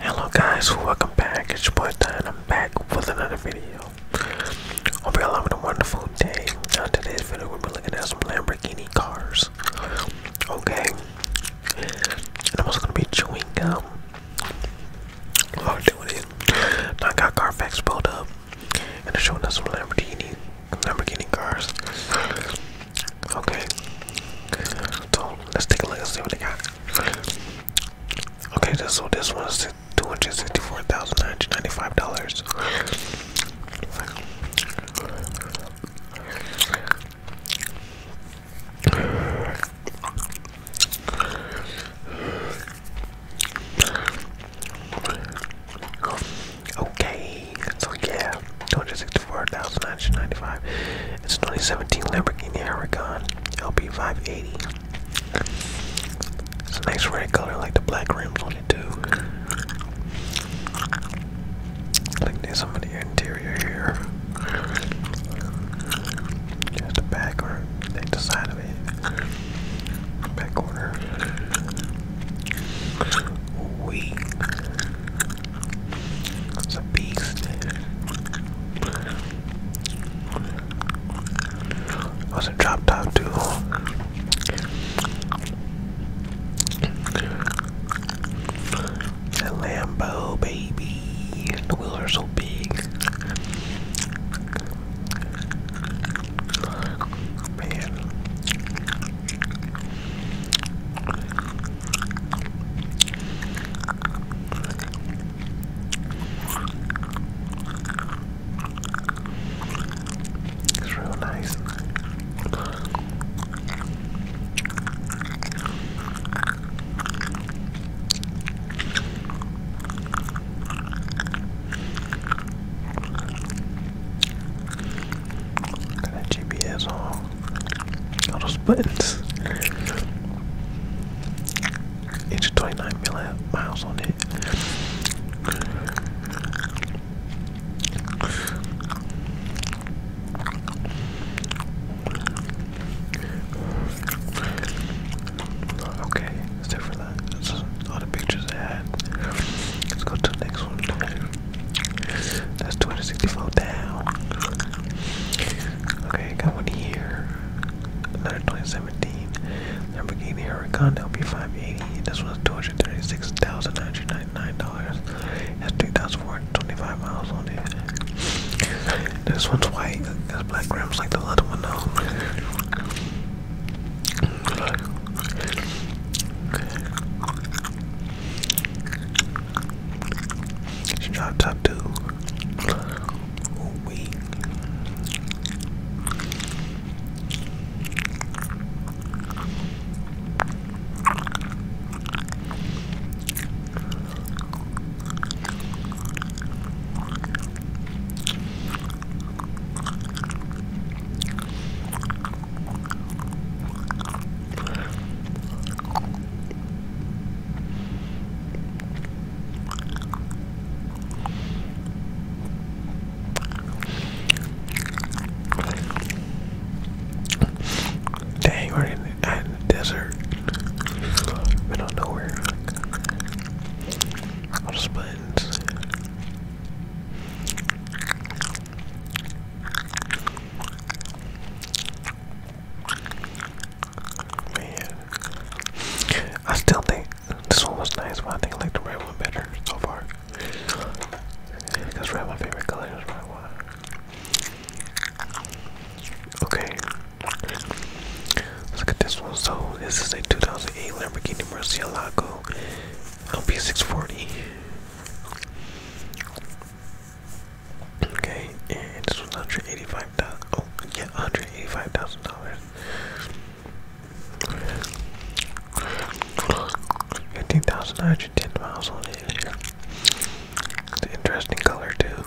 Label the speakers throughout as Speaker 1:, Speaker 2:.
Speaker 1: Hello guys, welcome back. It's your boy Don. I'm back with another video. I Hope y'all having a wonderful day. On today's video, we are be looking at some Lamborghini cars. Okay. And I'm also gonna be chewing gum. While doing it. I got Carfax pulled up and they're showing us some Lamborghini Lamborghini cars. Okay. So let's take a look and see what they got. Okay, so this one's two hundred sixty-four thousand nine hundred ninety-five dollars. Okay, so yeah, 260 4995 It's 2017 Lamborghini Huracan LP580. It's a nice red color, like the black rims on too. Like there's some of the interior here. There's the back or the side of it. Back corner. We it's a beast. was a drop top too. It's a Lambo baby. The wheels are so big. Man. It's real nice. Got that GPS on. All those buttons. It's 29 million miles on it. Okay, it's different. all the pictures I had. Let's go to the next one. That's 264 down. Okay, got one here. Another 2017. Lamborghini Huracan LP580. This one's $236,999. That's 3,425 miles on it. This one's white. That's black rims like the other one though. She dropped top two. we. Dang, we're in the, desert. Middle of nowhere. All the spuds. Man. I still think this one was nice, but I think I like the red one better so far. Because red my favorite color is red Okay. Let's look this one. So this is a 2008 Lamborghini Murcielago LP640. Okay, this was 185,000. Oh, yeah, 185,000 dollars. 15,910 miles on it. It's interesting color too.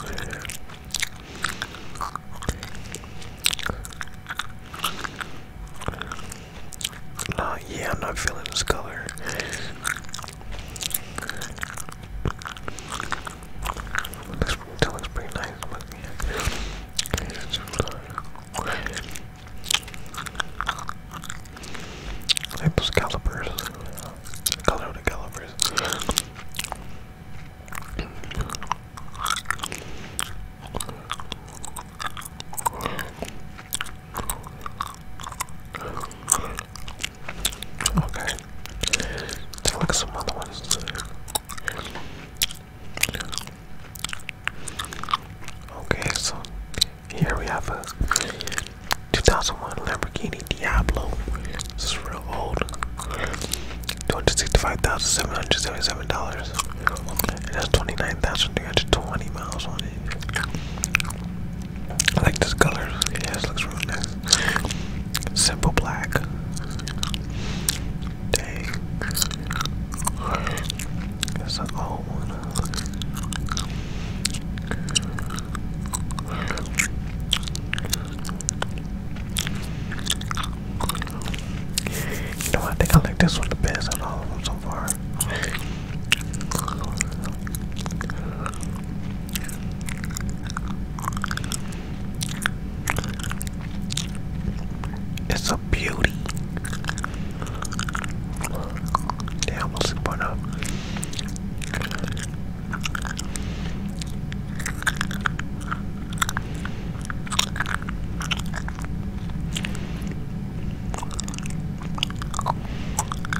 Speaker 1: Uh, yeah, I'm not feeling this color. This that looks pretty nice, Like those calipers. Color the calipers. Okay. Take a look at some other ones. Okay, so here we have a 2001 Lamborghini Diablo. This is real old. $265,777. It has 29,320 miles on it. I like this color. Yeah, this looks really nice. Simple black. Dang. That's an old one. You know, I think I like this one the best of all of them so far. It's a beauty. They almost put up.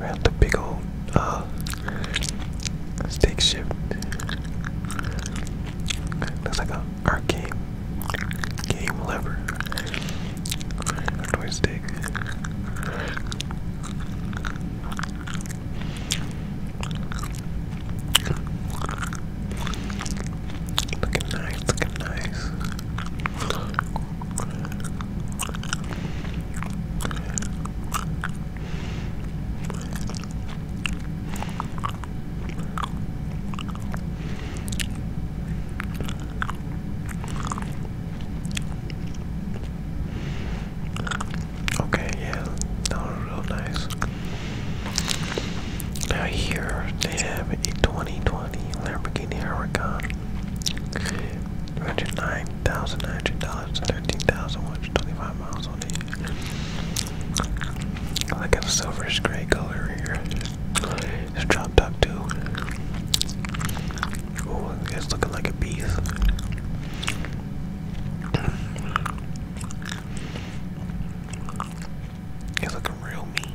Speaker 1: have the big old uh, stick shift. Looks like a arcade game lever. Or joystick. Looking nice, looking nice. Okay, yeah, that was real nice. Now here they have a 2020 Lamborghini Huracan. Two hundred nine thousand nine hundred dollars, thirteen thousand one hundred twenty-five miles on it. I like a silverish gray color here. It's dropped up too. Oh, it's looking like a beast. It's looking real mean.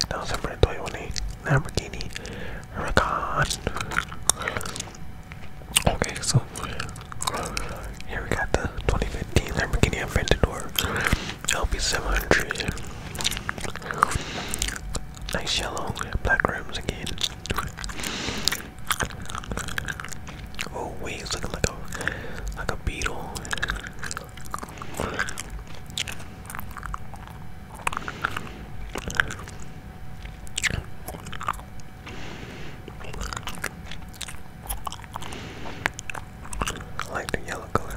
Speaker 1: Estamos enfrentando a una Lamborghini Huracan. Okay, so here we got the 2015 Lamborghini Aventador LP 700 Nice yellow, black rims again. Oh wait, it's looking like a like a beetle. like the yellow color.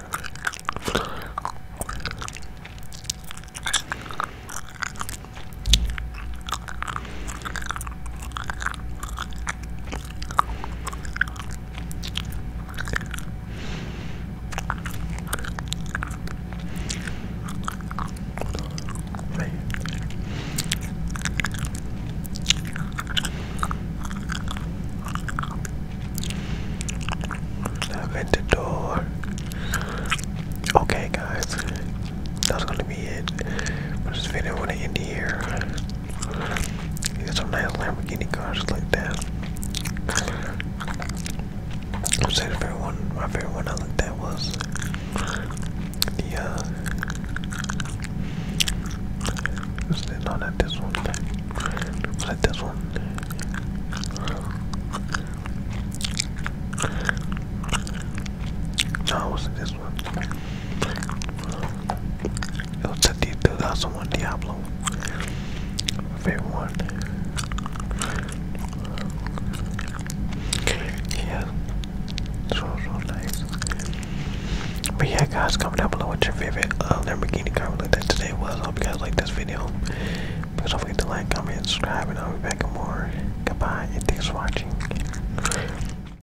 Speaker 1: Aventador. Okay, guys, that's gonna be it. I'm just gonna want to end here. You got some nice Lamborghini cars like that. I would say favorite one, my favorite one I looked at was the, uh, was it, no, not this one, was it this one? No, it wasn't this one. It was the 2001 Diablo. My favorite one. Yeah. So, so nice. But yeah, guys, comment down below what your favorite uh, Lamborghini car like that today was. I hope you guys liked this video. Please don't forget to like, comment, and subscribe, and I'll be back with more. Goodbye, thanks for watching.